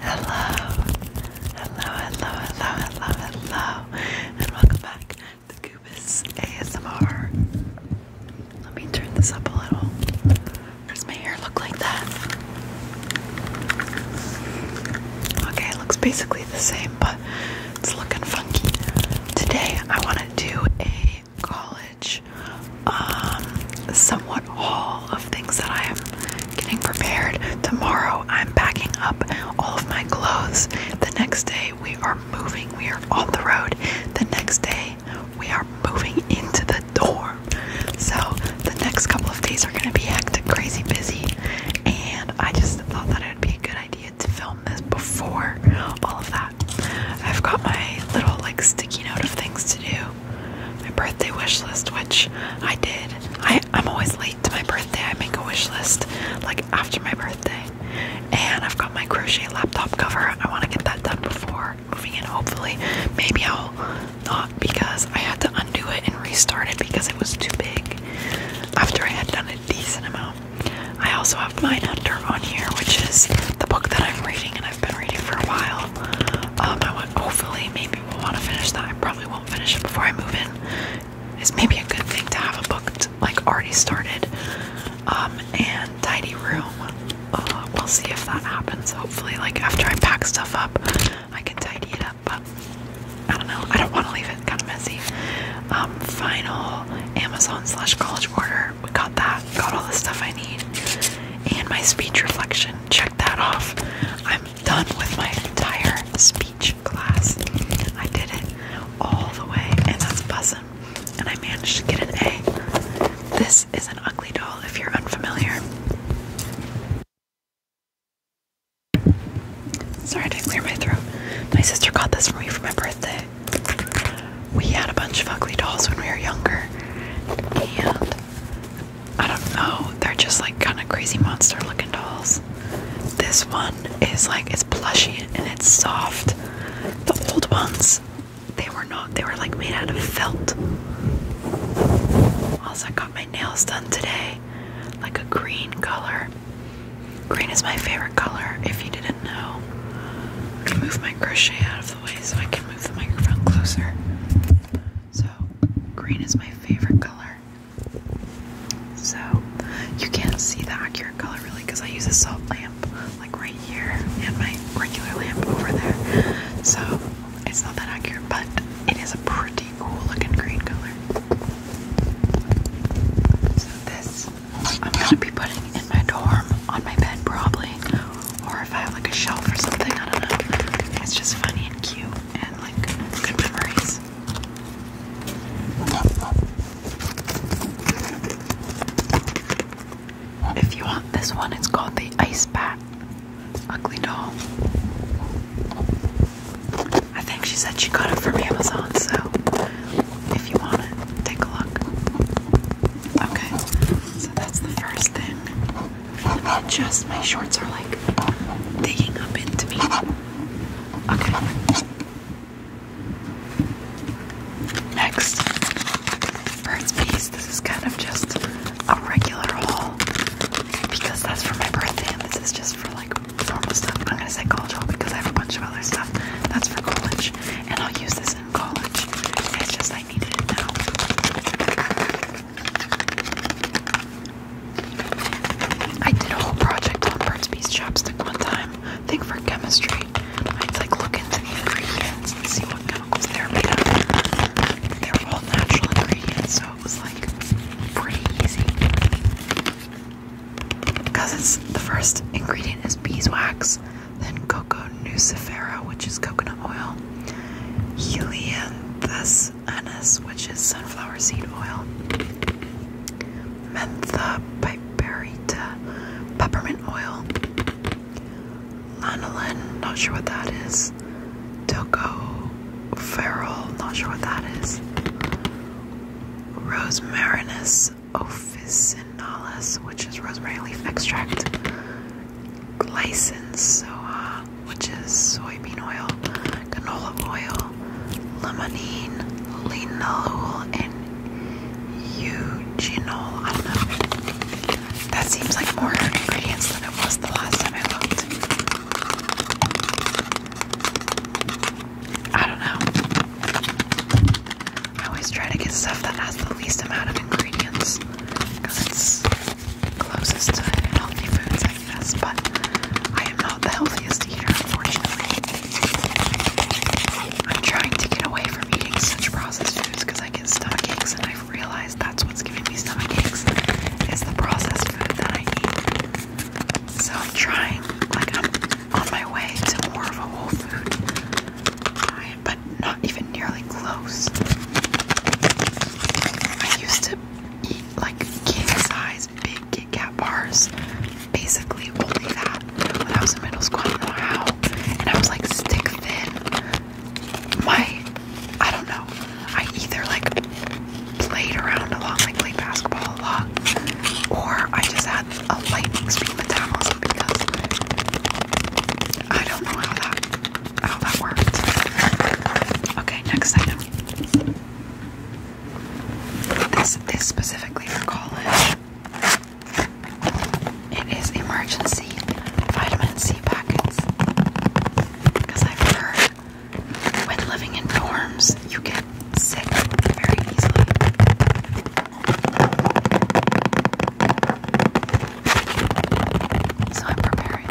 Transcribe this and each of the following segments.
Hello, hello, hello, hello, hello, hello, and welcome back to Goobus ASMR. Let me turn this up a little. Does my hair look like that? Okay, it looks basically the same, but it's looking funky. Today I want to do a college um, somewhat all of things that I am getting prepared. Tomorrow I'm packing up all of my clothes. The next day we are moving. We are on the road. The next day we are moving into the dorm. So the next couple of days are gonna be hectic, crazy busy, and I just thought that it would be a good idea to film this before all of that. I've got my little like sticky note of things to do my birthday wish list, which I did. I, am always late to my birthday. I make a wish list like after my birthday. And I've got my crochet laptop cover. I want to get that done before moving in, hopefully. Maybe I'll not because I had to undo it and restart it because it was too big after I had done a decent amount. I also have mine under on here, which is the book that I'm reading and I've been reading for a while. Um, I want hopefully maybe we'll want to finish that. I probably won't finish it before I move in. It's maybe a good thing to have a book like already started. Um, and tidy room. Uh, we'll see if that happens. Hopefully, like after I pack stuff up, I can tidy it up. But I don't know. I don't want to leave it kind of messy. Um, final Amazon slash college order. We got got that, got all the stuff I need. And my speech reflection, check that off. I'm done with my entire speech class. I did it all the way, and that's buzzing. And I managed to get an A. This is an ugly doll if you're unfamiliar. Sorry to clear my throat. My sister got this for me for my birthday. We had a bunch of ugly dolls when we were younger, and I don't know, they're just like kind of crazy monster looking dolls. This one is like it's plushy and it's soft. The old ones, they were not, they were like made out of felt. Also, I got my nails done today, like a green color. Green is my favorite color, if you didn't know. I'm gonna move my crochet out of the way so I can move the microphone closer. So, green is my favorite color. So, you can't see the accurate color really because I use a soft lamp like right here and my regular lamp over there. So, it's not that accurate, but it is a pretty cool looking green color. So, this I'm gonna be putting in my dorm on my bed probably. Or if I have like a shelf or something, I don't know. It's just funny and cute and like good memories. If you want this one, it's called the Ice Bat Ugly Doll. I think she said she got it from Amazon, so if you want to take a look. Okay, so that's the first thing. Just My shorts are like digging up into me. Okay. Next, bird's piece. This is kind of just a regular haul because that's for my birthday, and this is just for like normal stuff. I'm gonna say college because I have a bunch of other stuff that's for college and I'll use this in college. It's just I needed it now. I did a whole project on Burt's Bees chapstick one time, think for chemistry. I'd like look into the ingredients and see what chemicals they're made of. They're all natural ingredients, so it was like pretty easy because it's the first ingredient is beeswax, then cocoa nucifera, which is coconut oil, helianthus annus, which is sunflower seed oil, mentha piperita, peppermint oil, lanolin, not sure what that is, tocopherol, not sure what that is, rosemarinus, officinalis, which is rosemary leaf extract, glycine, soa, uh, which is soybean oil, canola oil, limonene, linalool, and eugenol. I don't know. That seems like more ingredients than it was the last time I looked. I don't know. I always try to get stuff that has the least amount of ingredients because it's closest to healthy foods, I guess. But I am not the healthiest eater, unfortunately. I'm trying to get away from eating such processed foods because I get stomach aches, and I've realized that's what's giving me stomach aches is the processed food that I eat. So I'm trying, like I'm on my way to more of a whole food diet, but not even nearly close. I used to eat like king size big Kit Kat bars, basically only that when I was in middle school. I and I was like stick thin. My, I don't know. I either like played around a lot, like played basketball a lot, or I just had a lightning speed metabolism because I don't know how that how that worked. Okay, next item. This is specifically for college. It is emergency vitamin C packets. Because I've heard when living in dorms, you get sick very easily. So I'm preparing.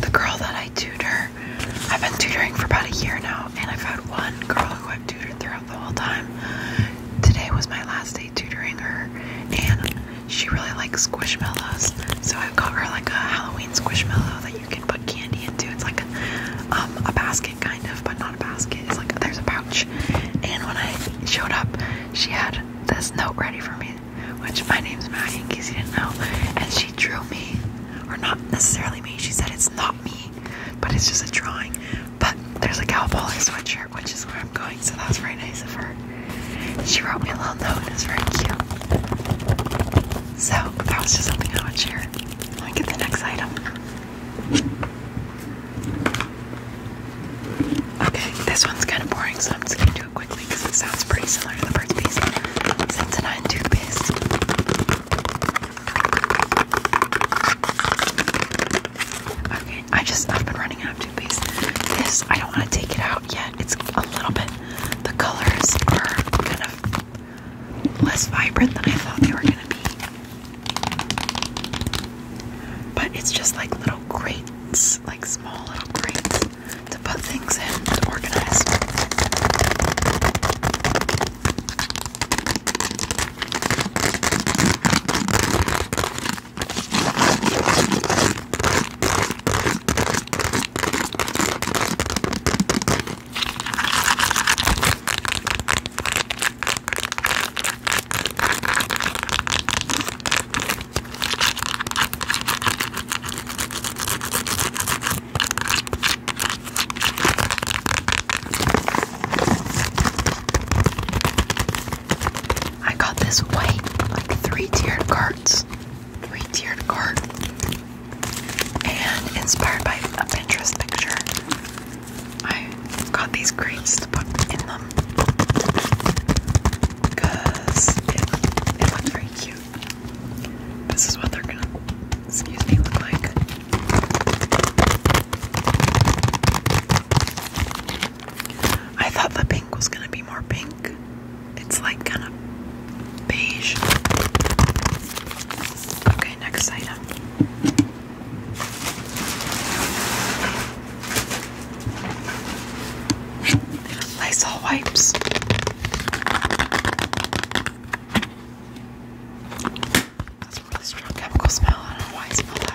The girl that I tutor I've been tutoring for about a year now, and I've had one girl who I've tutored throughout the whole time. Today was my last day tutoring her, and she really likes squishmallows, so I got her like a Halloween squishmallow that you can put candy into. It's like um, a basket, kind of, but not a basket. It's like there's a pouch. And when I showed up, she had this note ready for me which my name's Maggie, in case you didn't know, and she drew me, or not necessarily me, she said it's not me, but it's just a drawing. But there's a cowboy sweatshirt, which is where I'm going, so that's very nice of her. She wrote me a little note, and it's very cute. So that was just something I would share. Let me get the next item. Okay, this one's kind of boring, so I'm just gonna do it quickly because it sounds pretty similar to the first piece. Sensodyne toothpaste. Okay, I just I've been running out of toothpaste. This I don't want to take it out yet. It's a little bit. The colors are kind of less vibrant than I thought they were gonna be. But it's just like little grates, like small little grates to put things in to organize. I got this white, like three-tiered cards, three-tiered card, and inspired by a Pinterest picture. I got these crates to put in them because it, it looks very cute. This is what they're gonna, excuse me, look like. I thought the pink was gonna be more pink. It's like kind of beige. Okay, next item. Lysol wipes. That's really strong chemical smell. I don't know why I smell that.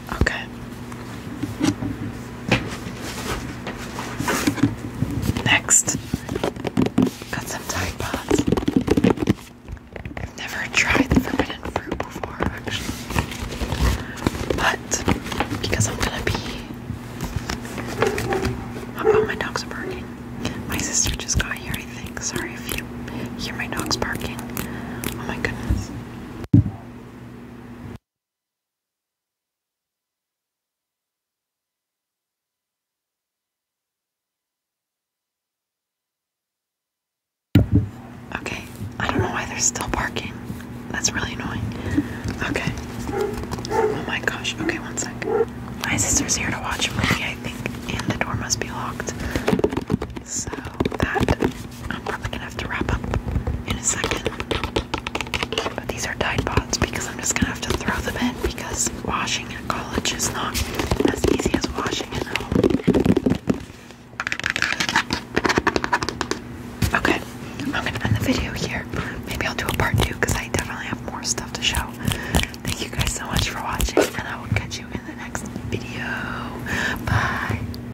Okay. Next, got some Tide I've never tried forbidden fruit before, actually. But because I'm gonna be. Oh, my dogs barking. My sister just got here, I think. Sorry if you hear my dogs barking. Oh my goodness. Okay, I don't know why they're still barking. That's really annoying. Okay. Oh my gosh. Okay, one sec. My sister's here to watch a movie, I think, and the door must be locked. So that I'm probably gonna have to wrap up in a second. But these are Tide Pods because I'm just gonna have to throw them in because washing at college is not as easy as washing at home. Okay, I'm gonna end the video here. Maybe I'll do a part two because I definitely have more stuff to show. Thank you guys so much for watching, and I will catch you in the next video. Bye.